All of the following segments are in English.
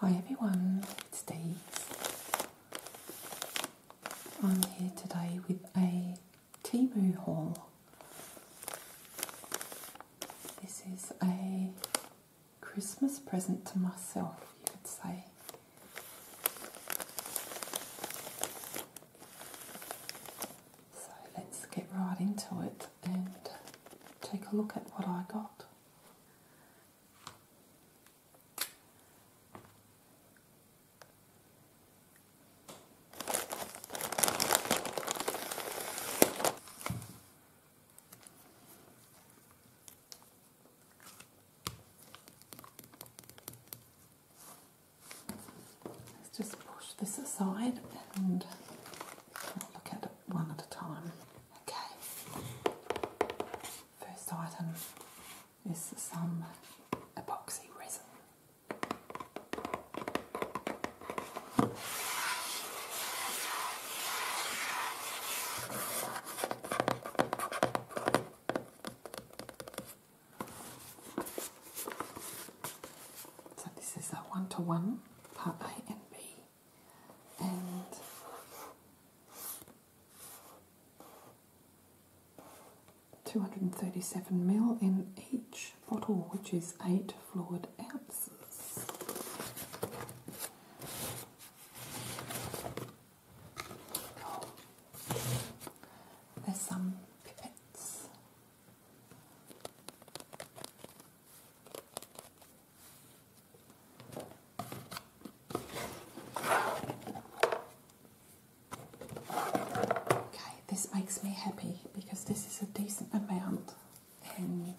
Hi everyone, it's Dee's. I'm here today with a Timu haul. This is a Christmas present to myself, you could say. So let's get right into it and take a look at what I got. Let's just push this aside and look at it one at a time. Okay, first item is some epoxy resin. So this is a one-to-one, part A and B. And Two hundred and thirty-seven mil in each bottle, which is eight fluid ounces. There's some pipettes. Okay, this makes me happy because this is a decent amount and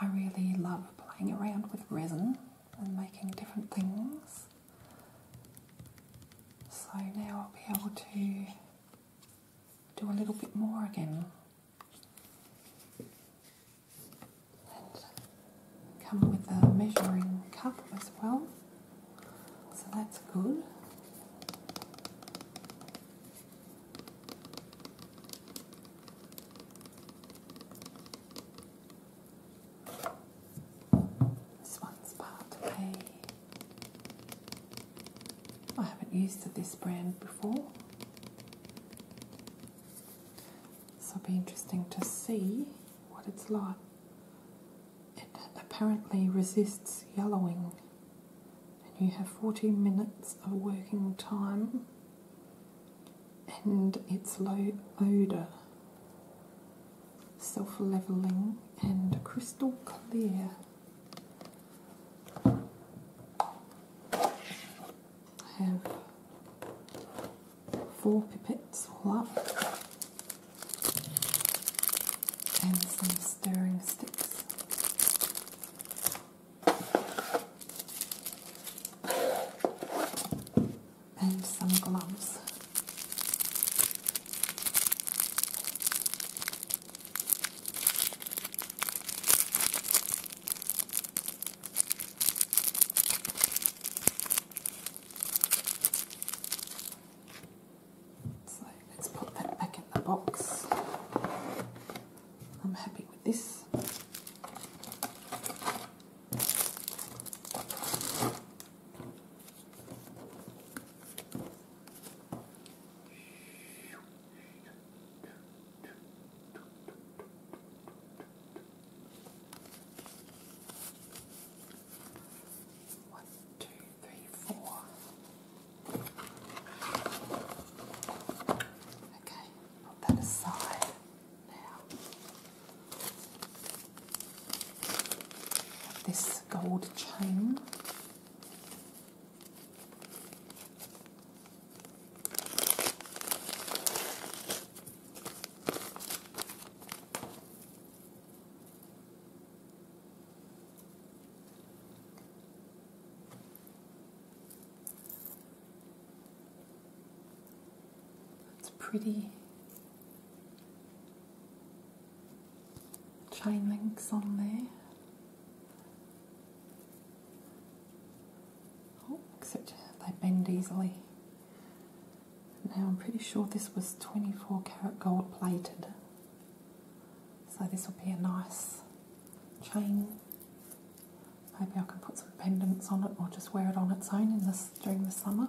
I really love playing around with resin and making different things. So now I'll be able to do a little bit more again come with a measuring cup as well. So that's good. This one's part way. I haven't used this brand before, so it'll be interesting to see what it's like. It apparently resists yellowing, and you have 40 minutes of working time, and it's low odour self leveling, and crystal clear. I have four pipettes all up and some stirring sticks and some gloves. So let's put that back in the box. I'm happy with this. One, two, three, four. Okay, put that aside now this gold chain. It's pretty. Chain links on there. Oh, except they bend easily. Now I'm pretty sure this was 24 karat gold plated. So this will be a nice chain. Maybe I can put some pendants on it or just wear it on its own in this during the summer.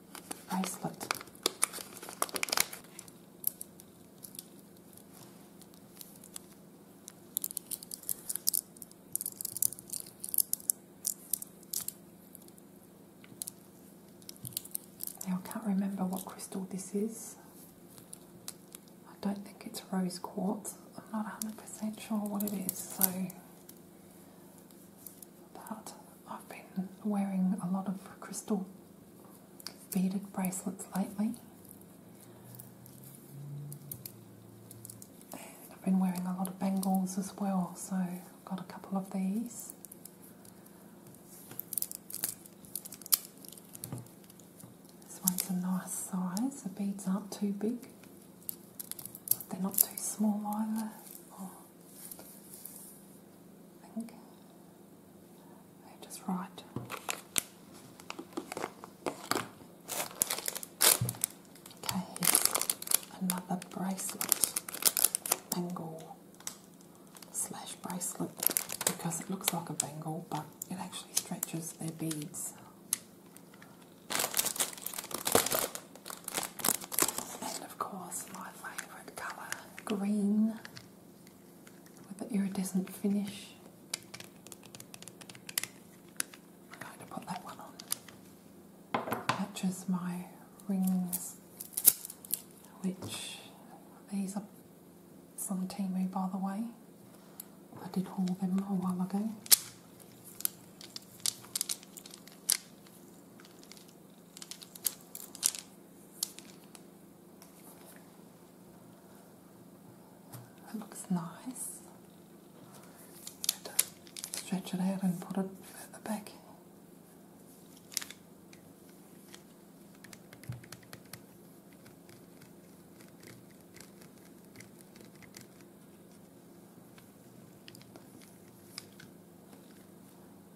bracelet. Now I can't remember what crystal this is. I don't think it's rose quartz. I'm not 100% sure what it is, so that I've been wearing a lot of crystal beaded bracelets lately. I've been wearing a lot of bangles as well, so I've got a couple of these. This one's a nice size, the beads aren't too big, they're not too small either. Oh. I think they just right. Okay, another bracelet bangle slash bracelet because it looks like a bangle but it actually stretches their beads. And of course, my favourite colour, green, with an iridescent finish. I'm going to put that one on. Matches my rings, which these are some Timu, by the way. I did haul them a while ago looks nice. Stretch it out and put it at back.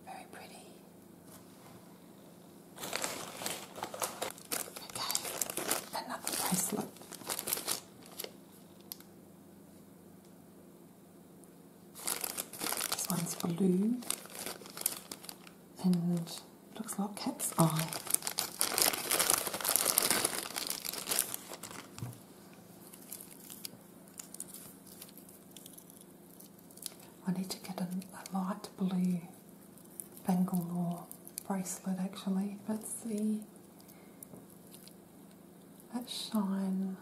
Very pretty. Okay, another bracelet. This one's blue and looks like a cat's eye. I need to get a, light blue or bracelet actually, Let's see that shine.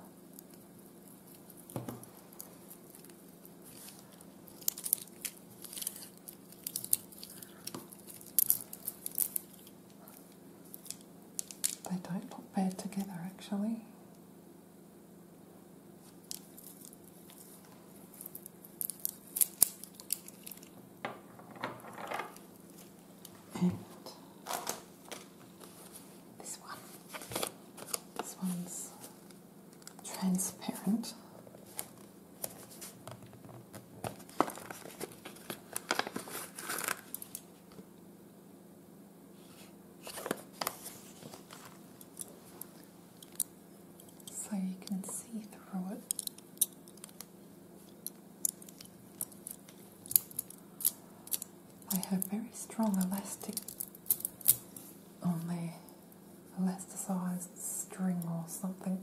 They don't look bad together actually. And this one. This one's transparent so you can see through it. I have very strong elastic on their elasticized string or something,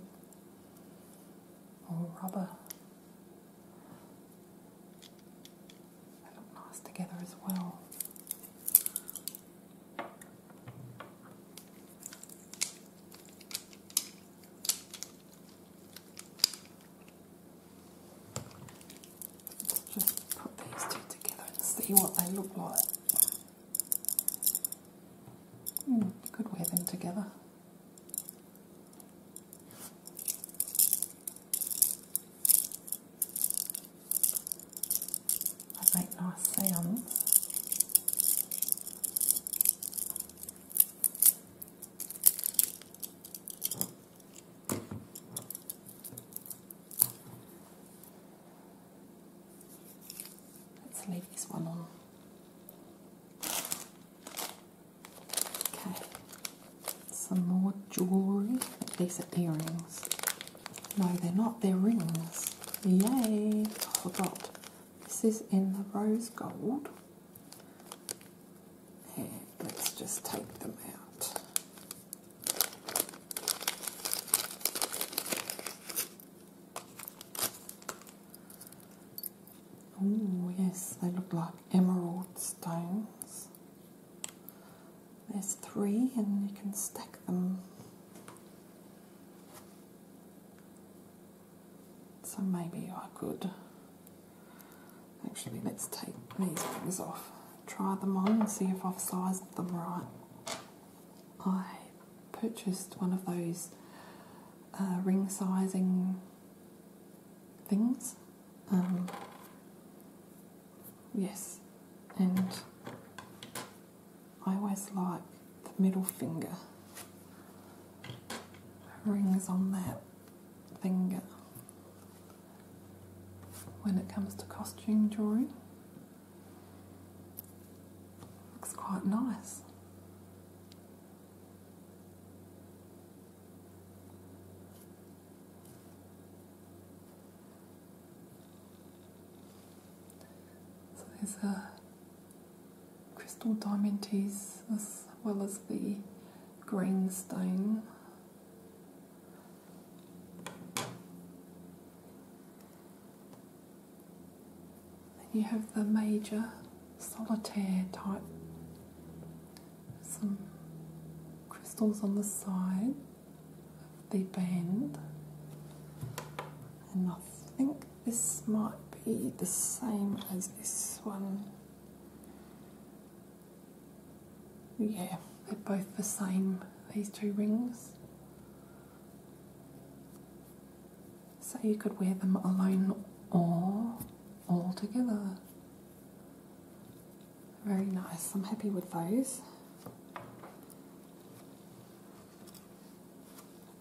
or rubber moss together as well. just put these two together and see what they look like. Hmm, could wear them together. I make nice sounds. Let's leave this one on. Okay. Some more jewelry. These are earrings. No, they're not. They're rings. Yay! I forgot. This is in the rose gold. And let's just take them out. Oh, yes, they look like emerald stones. There's three, and you can stack them. So maybe I could. Actually, let's take these things off, try them on, and see if I've sized them right. I purchased one of those uh, ring sizing things. Um, Yes, and I always like the middle finger. Rings on that finger when it comes to costume drawing. Looks quite nice. So there's a crystal diamond diamantes as well as the green stone. Then you have the major solitaire type. Some crystals on the side the band and I think this might be the same as this one yeah they're both the same these two rings so you could wear them alone or all together very nice. I'm happy with those.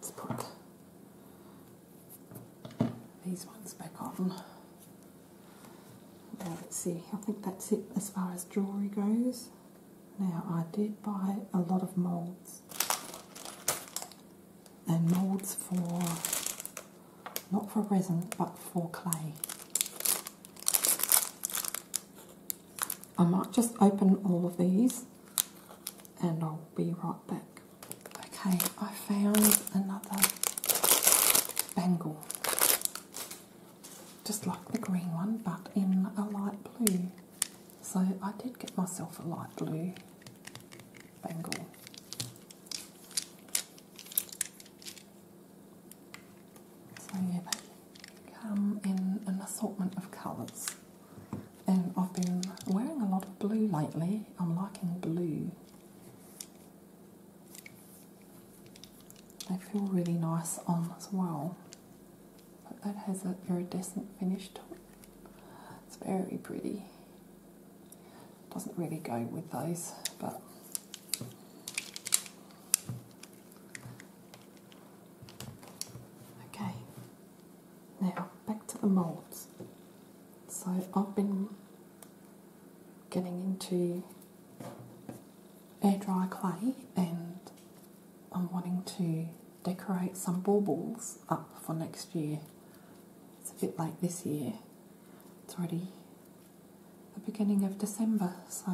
Let's put these ones back on. Now let's see, I think that's it as far as jewellery goes. Now I did buy a lot of moulds and moulds for, not for resin, but for clay. I might just open all of these and I'll be right back. Okay, I found another bangle. Just like the green one, but in a light blue. So I did get myself a light blue bangle. So yeah, they come in an assortment of colours. And I've been wearing a lot of blue lately. I'm liking blue. They feel really nice on as well. But that has a iridescent finish to it. It's very pretty. Doesn't really go with those, but Okay, now back to the molds. So I've been getting into air dry clay and I'm wanting to decorate some baubles up for next year. It's a bit late this year, it's already the beginning of December. So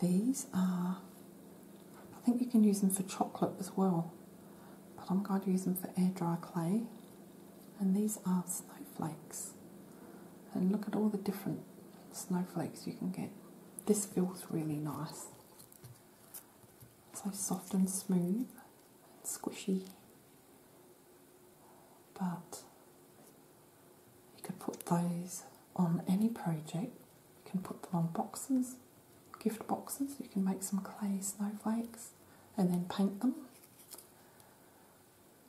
these are, I think you can use them for chocolate as well, but I'm going to use them for air dry clay. And these are snowflakes. And look at all the different snowflakes you can get. This feels really nice. So soft and smooth and squishy. But you can put those on any project. You can put them on boxes, gift boxes. You can make some clay snowflakes and then paint them.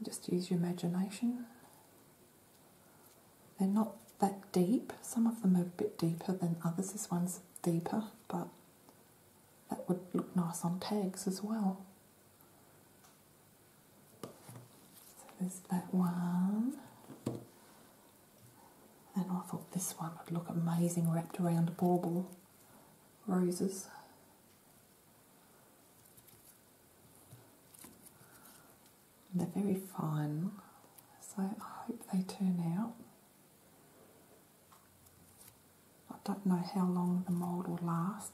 Just use your imagination. They're not that deep. Some of them are a bit deeper than others. This one's deeper, but that would look nice on tags as well. So there's that one. And I thought this one would look amazing wrapped around bauble. Roses. they're very fine, so I hope they turn out. I don't know how long the mould will last,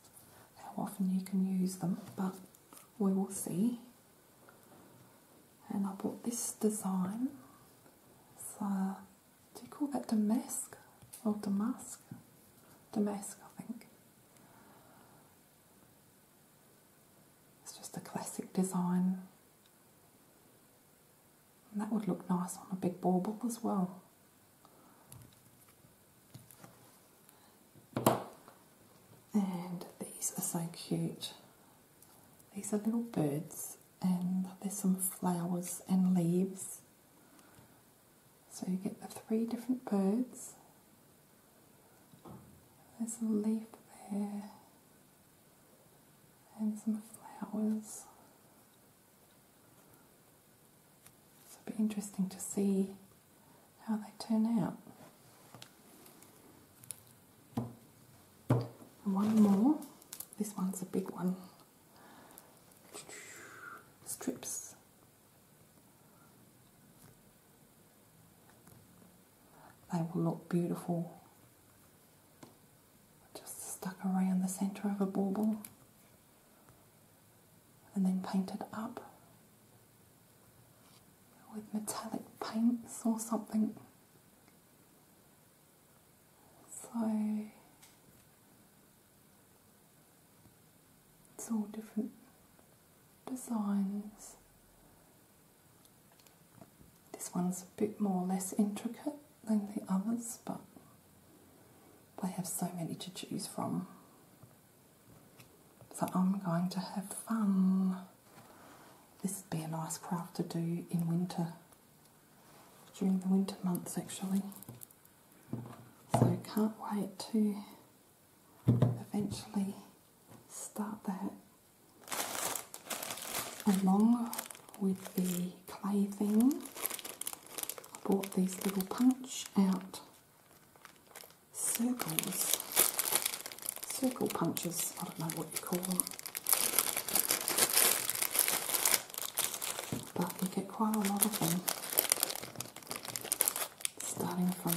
how often you can use them, but we will see. And I bought this design. It's, do you call that Damask or Damask? Damask, I think. It's just a classic design. And that would look nice on a big bauble as well. And these are so cute. These are little birds, and there's some flowers and leaves. So you get the three different birds. There's a leaf there, and some flowers. So it'll be interesting to see how they turn out. One more. This one's a big one. Strips. They will look beautiful just stuck around the centre of a bauble and then painted up with metallic paints or something. So it's all different designs. This one's a bit more less intricate than the others, but they have so many to choose from. So I'm going to have fun. This would be a nice craft to do in winter, during the winter months actually. So can't wait to eventually start that along with the clay thing. I bought these little punch out circles, circle punches, I don't know what you call them. But we get quite a lot of them, starting from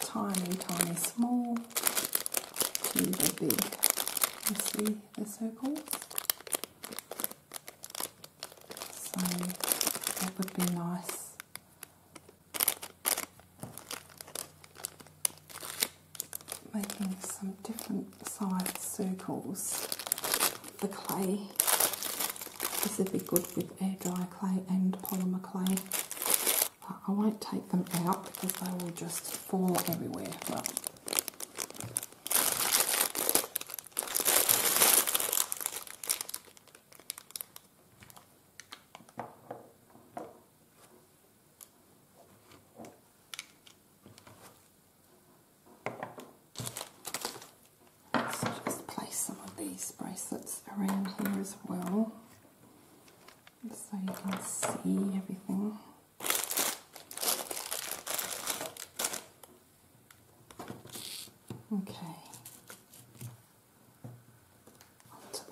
tiny, tiny, small to the big. You see the circles? So that would be nice making some different sized circles. The clay, this would be good with air dry clay and polymer clay. Uh, I won't take them out because they will just fall everywhere. Let's just place some of these bracelets around here as well so you can see everything. Okay,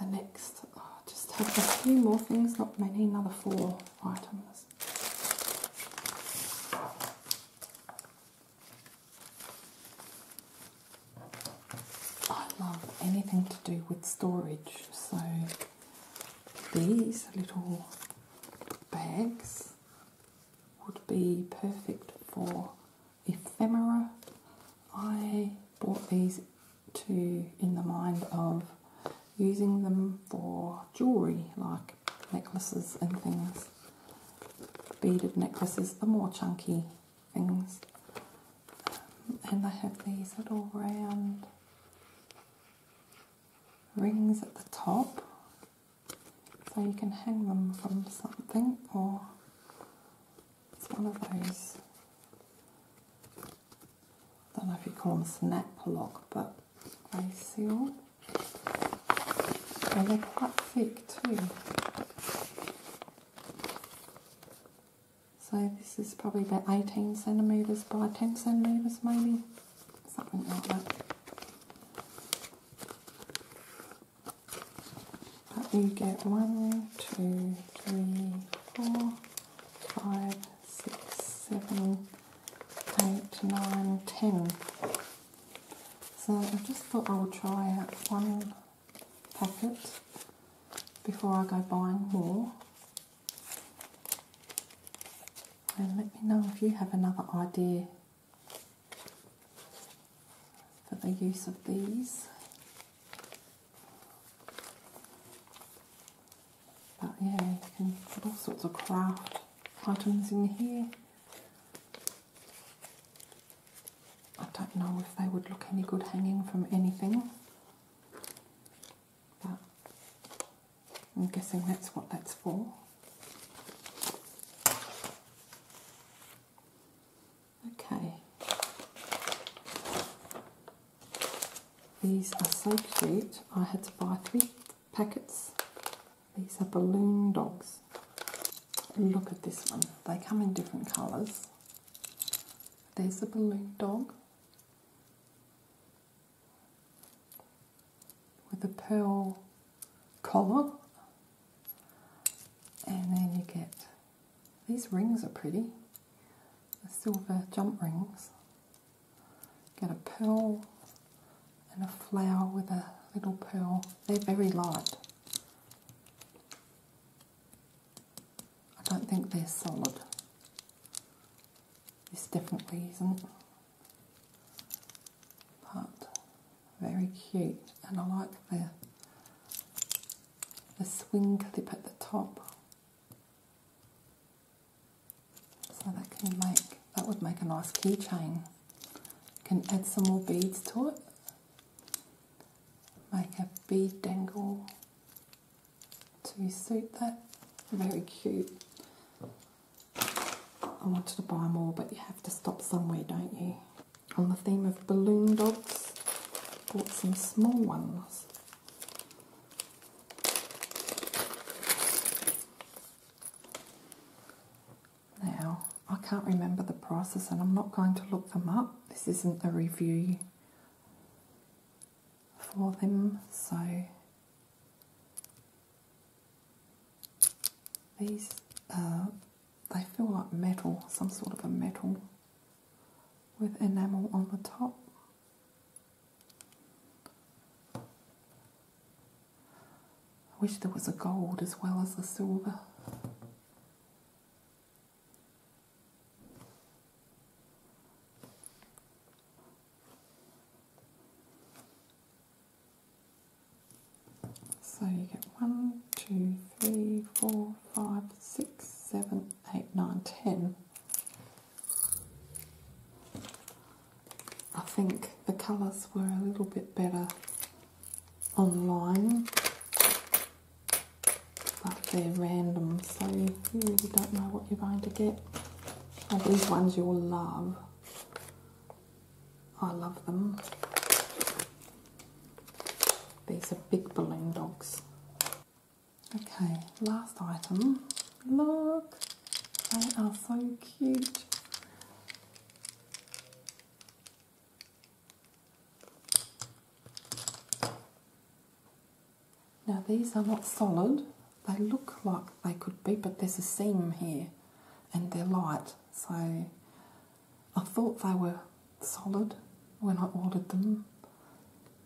on the next. I oh, just have a few more things, not many, another four items. I love anything to do with storage, so these little bags would be perfect for ephemera. I bought these two in the mind of using them for jewellery, like necklaces and things. Beaded necklaces, the more chunky things. and I have these little round rings at the top so you can hang them from something or it's one of those, I don't know if you call them snap lock, but they they're quite thick too. So this is probably about 18 centimetres by 10 centimetres maybe, something like that you get one, two, three, four, five, six, seven, eight, nine, ten. So I just thought I would try out one packet before I go buying more. And let me know if you have another idea for the use of these. But yeah, you can put all sorts of craft items in here. I don't know if they would look any good hanging from anything. But I'm guessing that's what that's for. Okay. These are so cute. I had to buy three packets. These are balloon dogs. Look at this one. They come in different colours. There's a balloon dog with a pearl collar. And then you get these rings are pretty. The silver jump rings. Get a pearl and a flower with a little pearl. They're very light. I don't think they're solid. This definitely isn't. But very cute and I like them the swing clip at the top. So that can make that would make a nice keychain. Can add some more beads to it. Make a bead dangle to suit that. Very cute. I wanted to buy more, but you have to stop somewhere, don't you? on the theme of balloon dogs. Bought some small ones. Now, I can't remember the prices and I'm not going to look them up. This isn't a review for them, so these are they feel like metal, some sort of a metal with enamel on the top. I wish there was a gold as well as the silver. So you get 1, 2, 3, 4, 5, 6, 7, 8, 9, 10. I think the colours were a little bit better online, but they're random, so you really don't know what you're going to get. And these ones you'll love. I love them. These are big balloon dogs. Okay, last item. Look, they are so cute. Now these are not solid, they look like they could be, but there's a seam here and they're light, so I thought they were solid when I ordered them.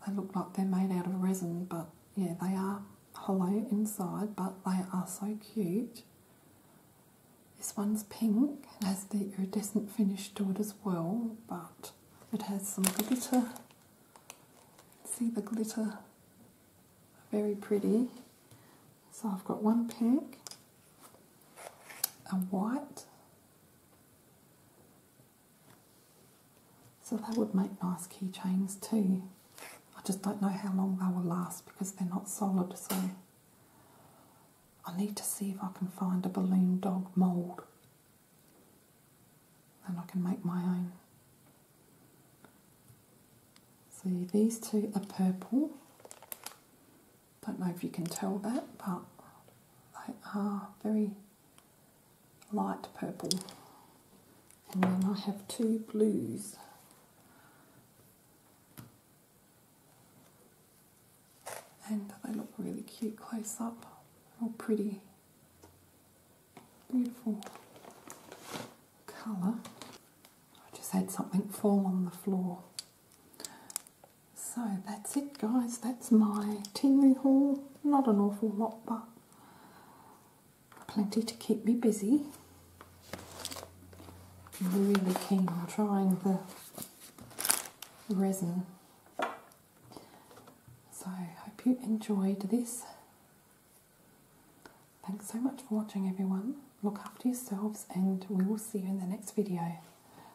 They look like they're made out of resin, but yeah, they are hollow inside, but they are so cute. This one's pink It has the iridescent finish to it as well, but it has some glitter. See the glitter? Very pretty. So I've got one pink, a white, so they would make nice keychains too. I just don't know how long they will last because they're not solid. So I need to see if I can find a balloon dog mould. and I can make my own. See, these two are purple. Don't know if you can tell that, but they are very light purple. And then I have two blues. And they look really cute close up. All pretty. Beautiful colour. I just had something fall on the floor. So that's it, guys. That's my Tinley haul. Not an awful lot, but plenty to keep me busy. I'm really keen on trying the resin. So I hope you enjoyed this. Thanks so much for watching, everyone. Look after yourselves, and we will see you in the next video.